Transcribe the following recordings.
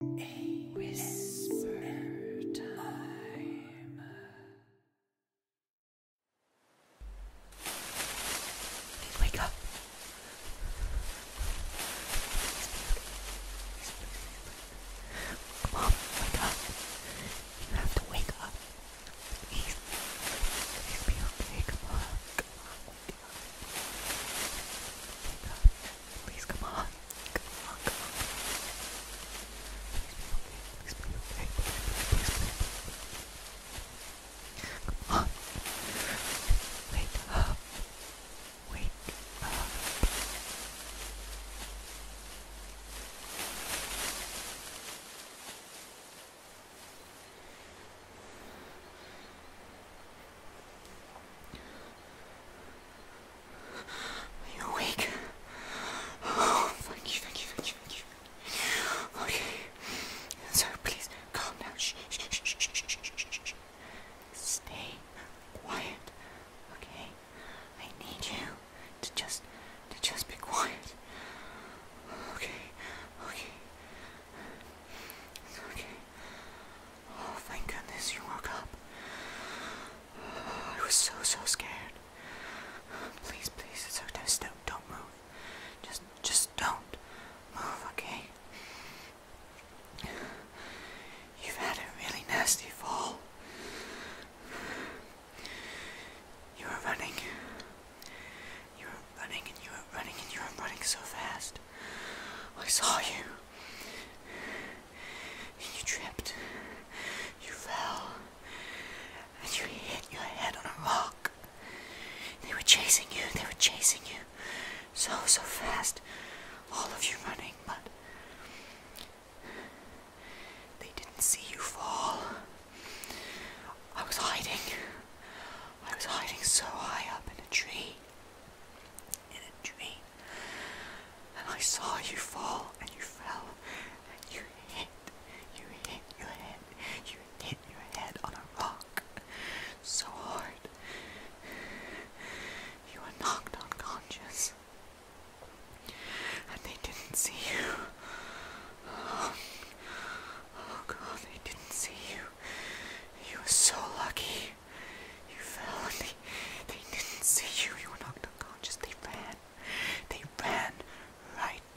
whisper Wake up. Mom, wake up. You have to wake up. Please, please be okay. Come on. Please come on. Come on, come on. Come on. Wake up. Wake up. Are you awake? Oh, thank you, thank you, thank you, thank you. Okay. So please calm down. Shh, shh, shh, shh, shh, shh, shh, shh, Stay quiet, okay? I need you to just to just be quiet. Okay, okay. Okay. Oh, thank goodness you woke up. I was so, so scared. Please, please, it's okay. Just don't, don't move. Just, just don't move, okay? You've had a really nasty fall. You were running. You were running and you were running and you were running so fast. I saw you and you tripped. You fell. And you hit your head on a rock. They were chasing you, they were chasing you. So, so fast. All of you running, but they didn't see you fall. I was hiding. I was hiding so high up in a tree in a dream, and I saw you fall, and you fell, and you hit, you hit your head, you hit your head on a rock so hard, you were knocked unconscious, and they didn't see you. Oh, oh God, they didn't see you. You were so lucky you. fell and they, they didn't see you. You were knocked unconscious. They ran. They ran right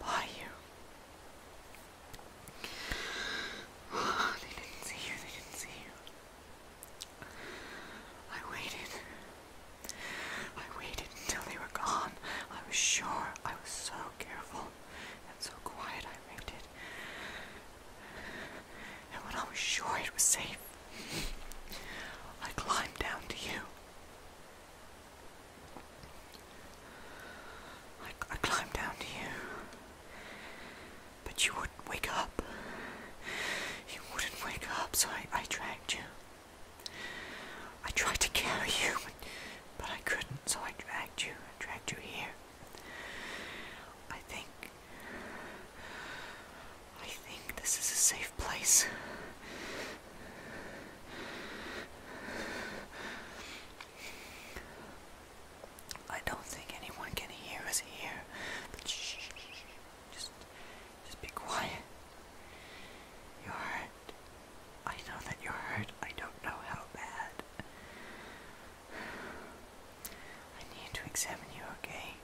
by you. They didn't see you. They didn't see you. I waited. I waited until they were gone. I was sure. I was so careful and so quiet. I waited. And when I was sure it was safe, I climbed down to you. I, climbed down to you. But you wouldn't wake up. You wouldn't wake up, so I, dragged you. I tried to carry you, but, but I couldn't, so I dragged you. I dragged you here. I think. I think this is a safe place. I don't think anyone can hear us here. But shh, just, just be quiet. You're hurt. I know that you're hurt. I don't know how bad. I need to examine you, okay?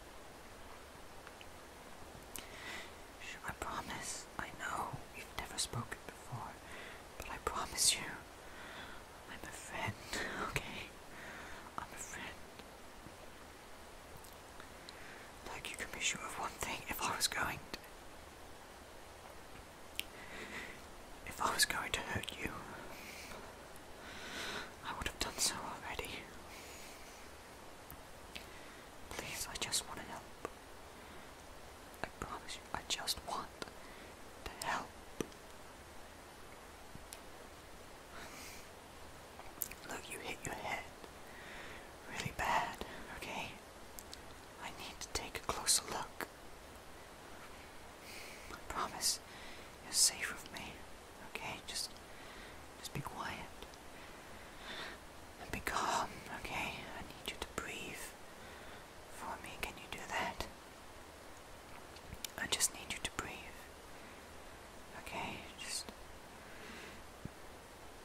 I promise, I know we've never spoken before, but I promise you, I'm a friend, okay? I'm a friend. Like, you can be sure of one thing if I was going to. If I was going to hurt you, I would have done so already. Please, I just want help. I promise I just want to help. Look, you hit your head really bad, okay? I need to take a closer look. I promise you're safe with me. Okay, just just be quiet and be calm. Okay, I need you to breathe for me. Can you do that? I just need you to breathe. Okay, just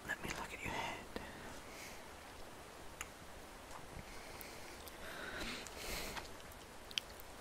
let me look at your head.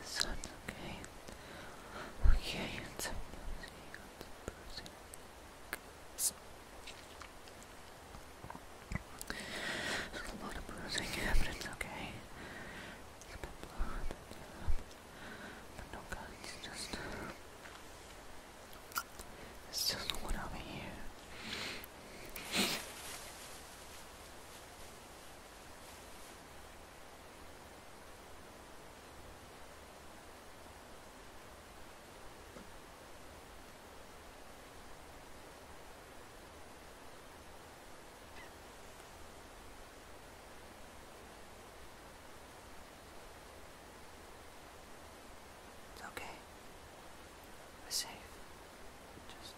it's okay. Okay, it's a person. It's a lot of bruising, but it's okay. It's a bit blood, uh, but no guns, just. It's just one over here. It's okay. We're safe. Just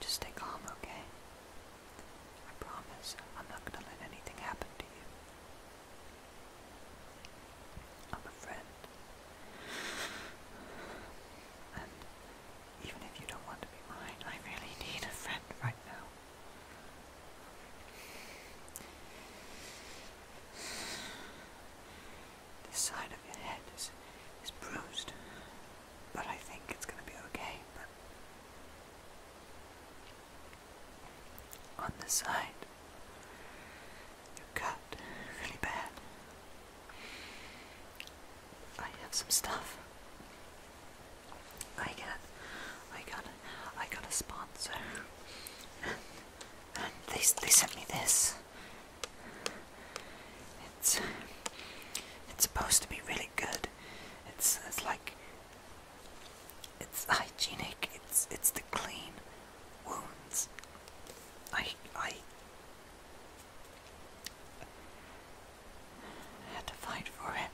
just stay calm, okay? I promise I'm not gonna let anything happen to you. I'm a friend. And even if you don't want to be mine, I really need a friend right now. This side of your head is, is bruised, but I think it's going to be okay. on this side, you're cut really bad. I have some stuff. I got, I got, I got a sponsor, and, and they they sent me this it's it's supposed to be really good. It's it's like it's hygienic. It's it's the clean wounds. I I had to fight for it.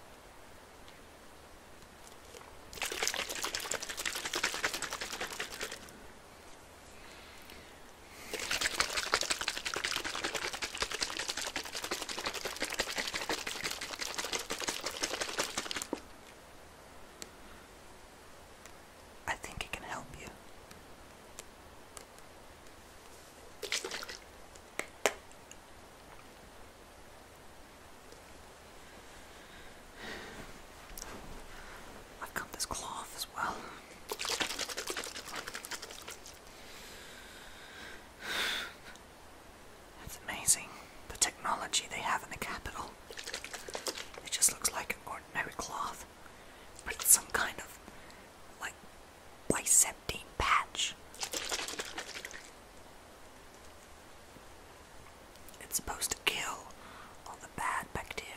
I think it can help you. I've got this cloth as well. It's amazing the technology they have in the capital. It just looks like an ordinary cloth, but it's some kind of like biceptine patch. It's supposed to kill all the bad bacteria.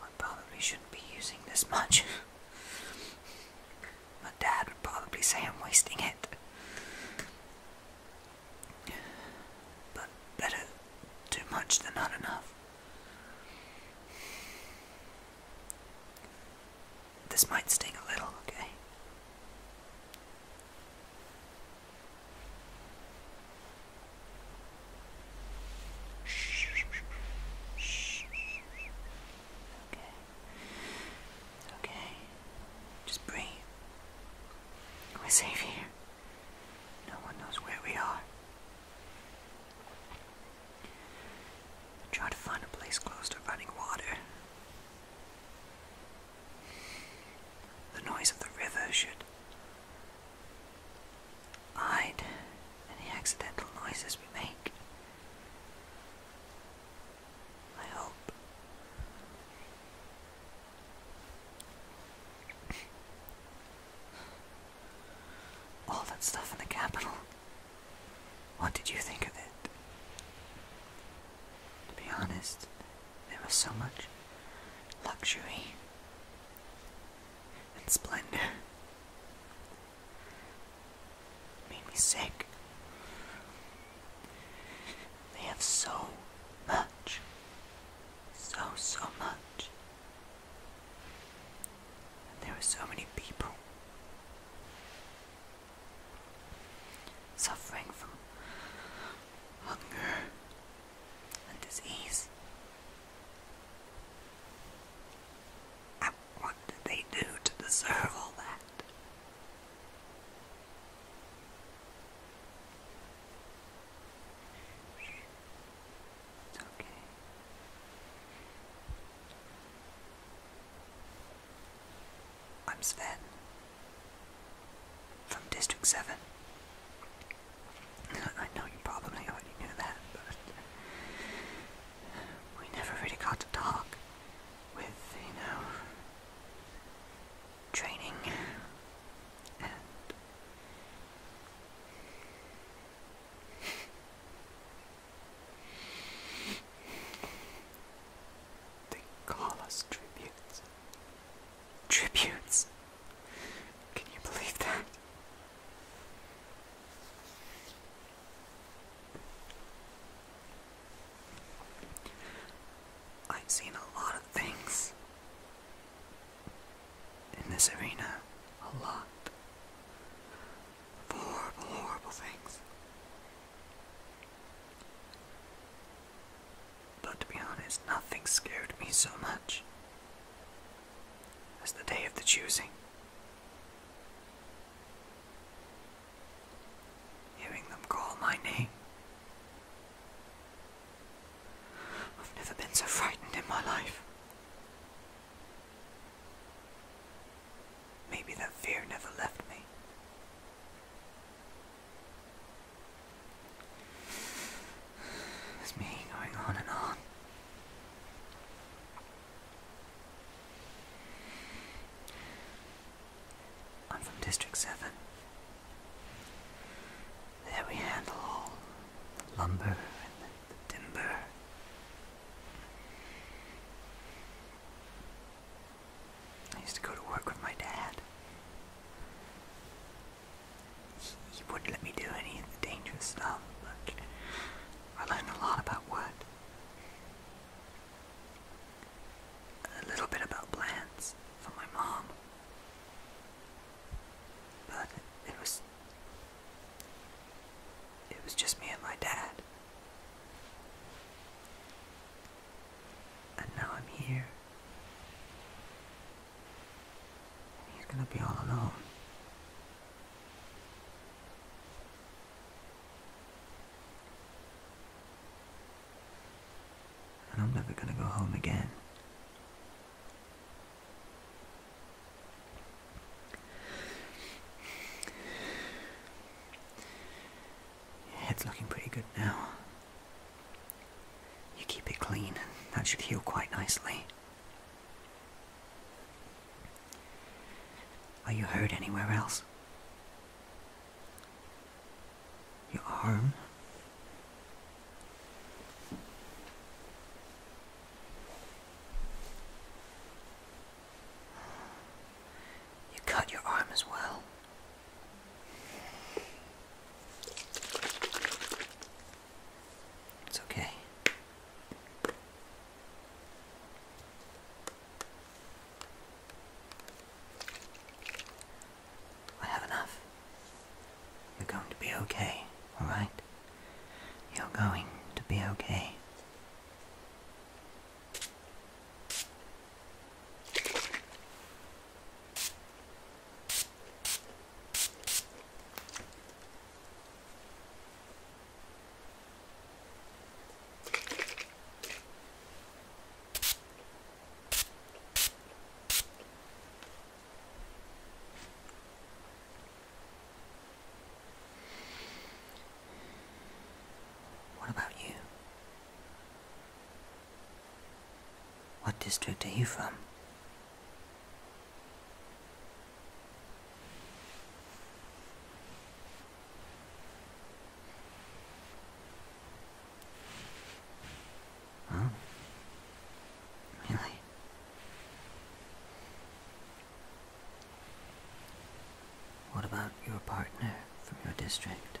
I probably shouldn't be using this much. My dad would probably say I'm wasting it. But better too much than not enough. This might sting a little, okay? Okay. Okay. Just breathe. We're safe here. No one knows where we are. Try to find a place close to running water. The noise of the river should hide any accidental noises we make. I hope. All that stuff in the capital. What did you think of it? To be honest, there was so much luxury and splendor. made me sick. They have so much. So, so much. And there were so many people suffering from hunger and disease. And what did they do to deserve all that? Okay. I'm Sven from District 7. I know you probably already knew that, but we never really got to talk with, you know, training and. They call tributes. Tributes. Can you believe that? I've seen a lot of things in this arena. A lot of horrible, horrible things. But to be honest, nothing scared me so much as the day of the choosing. Hearing them call my name. I've never been so frightened in my life. Maybe that fear never left me. It's me going on and on. I'm from District 7. There we handle all the lumber and the, timber. I used to go to work with my dad. He, wouldn't let me do any of the dangerous stuff, but I learned a lot about wood. A little bit about plants from my mom. But it was. It was just me and my dad. And now I'm here. And he's gonna be all alone. And I'm never gonna go home again. Your head's looking pretty good now. You keep it clean, that should heal quite nicely. Are you hurt anywhere else? Your arm? You cut your arm as well. It's okay. I have enough. You're going to be okay, alright? You're going to be okay. What about you? What district are you from? Really? What about your partner from your district?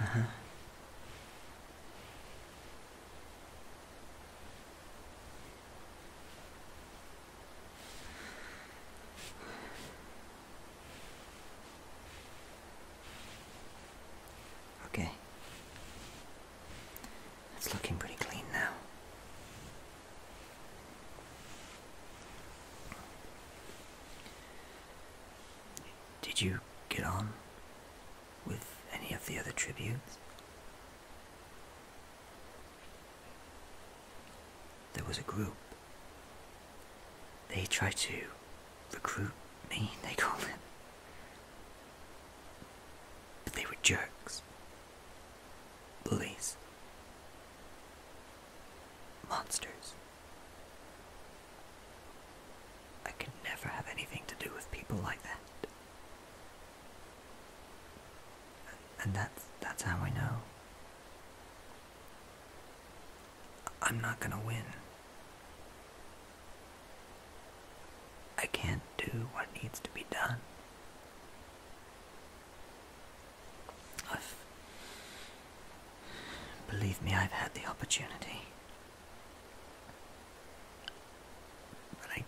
Uh-huh. Okay. It's looking pretty clean now. Did you get on with any of the other tributes? There was a group. They tried to recruit me, they called it. But they were jerks. Bullies. Monsters. I could never have anything to do with people like that. And that's that's how I know. I'm not gonna win. I can't do what needs to be done. I've. Believe me, I've had the opportunity. But I.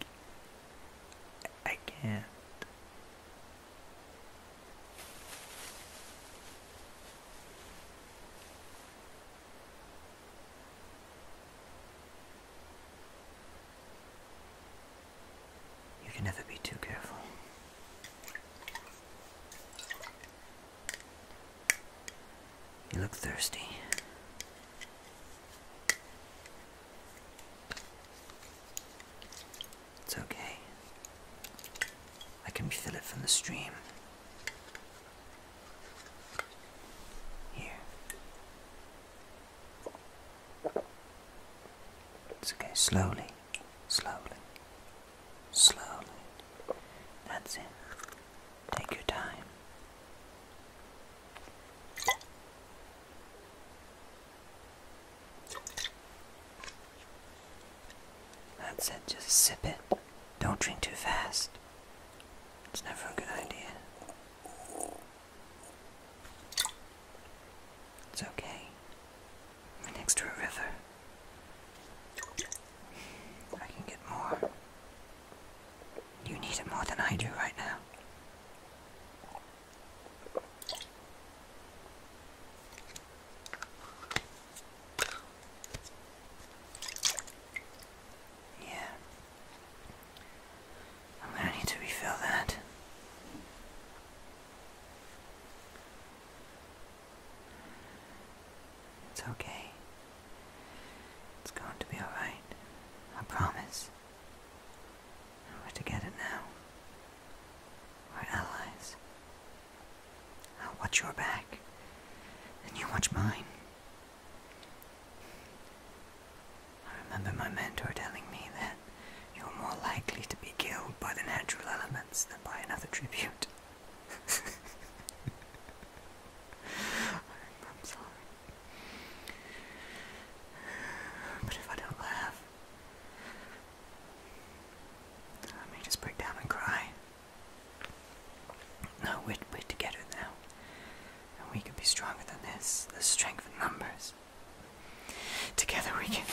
I can't. You can never be too careful. You look thirsty. It's okay. I can refill it from the stream. Here. It's okay, slowly, slowly, slowly. That's it. Take your time. That's it, just sip it. Don't drink too fast. It's never a good idea. It's okay. next to a river. I can get more. You need it more than I do right now. Yeah. I'm gonna need to refill that. It's okay. It's going to be alright. I promise. we're together now. we allies. I'll watch your back, and you watch mine. I remember my mentor telling me that you're more likely to be killed by the natural elements than by another tribute. I'm sorry. But if I don't laugh, I may just break down and cry. No, we're, together now. And we can be stronger than this. The strength of numbers. Together we can.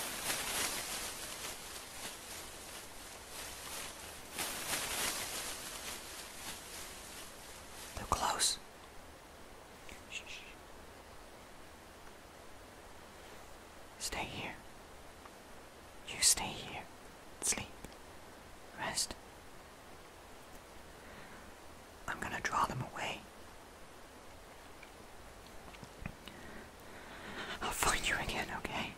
they close. Stay here. You stay here, sleep, rest. I'm gonna draw them away. I'll find you again, okay?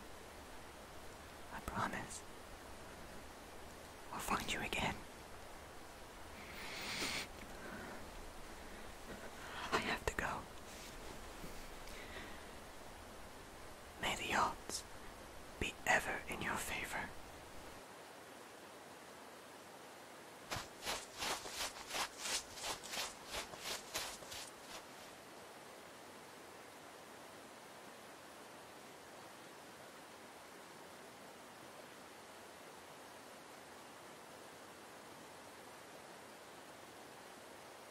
I promise. I'll find you again. I have to go. May the odds be ever in your favor.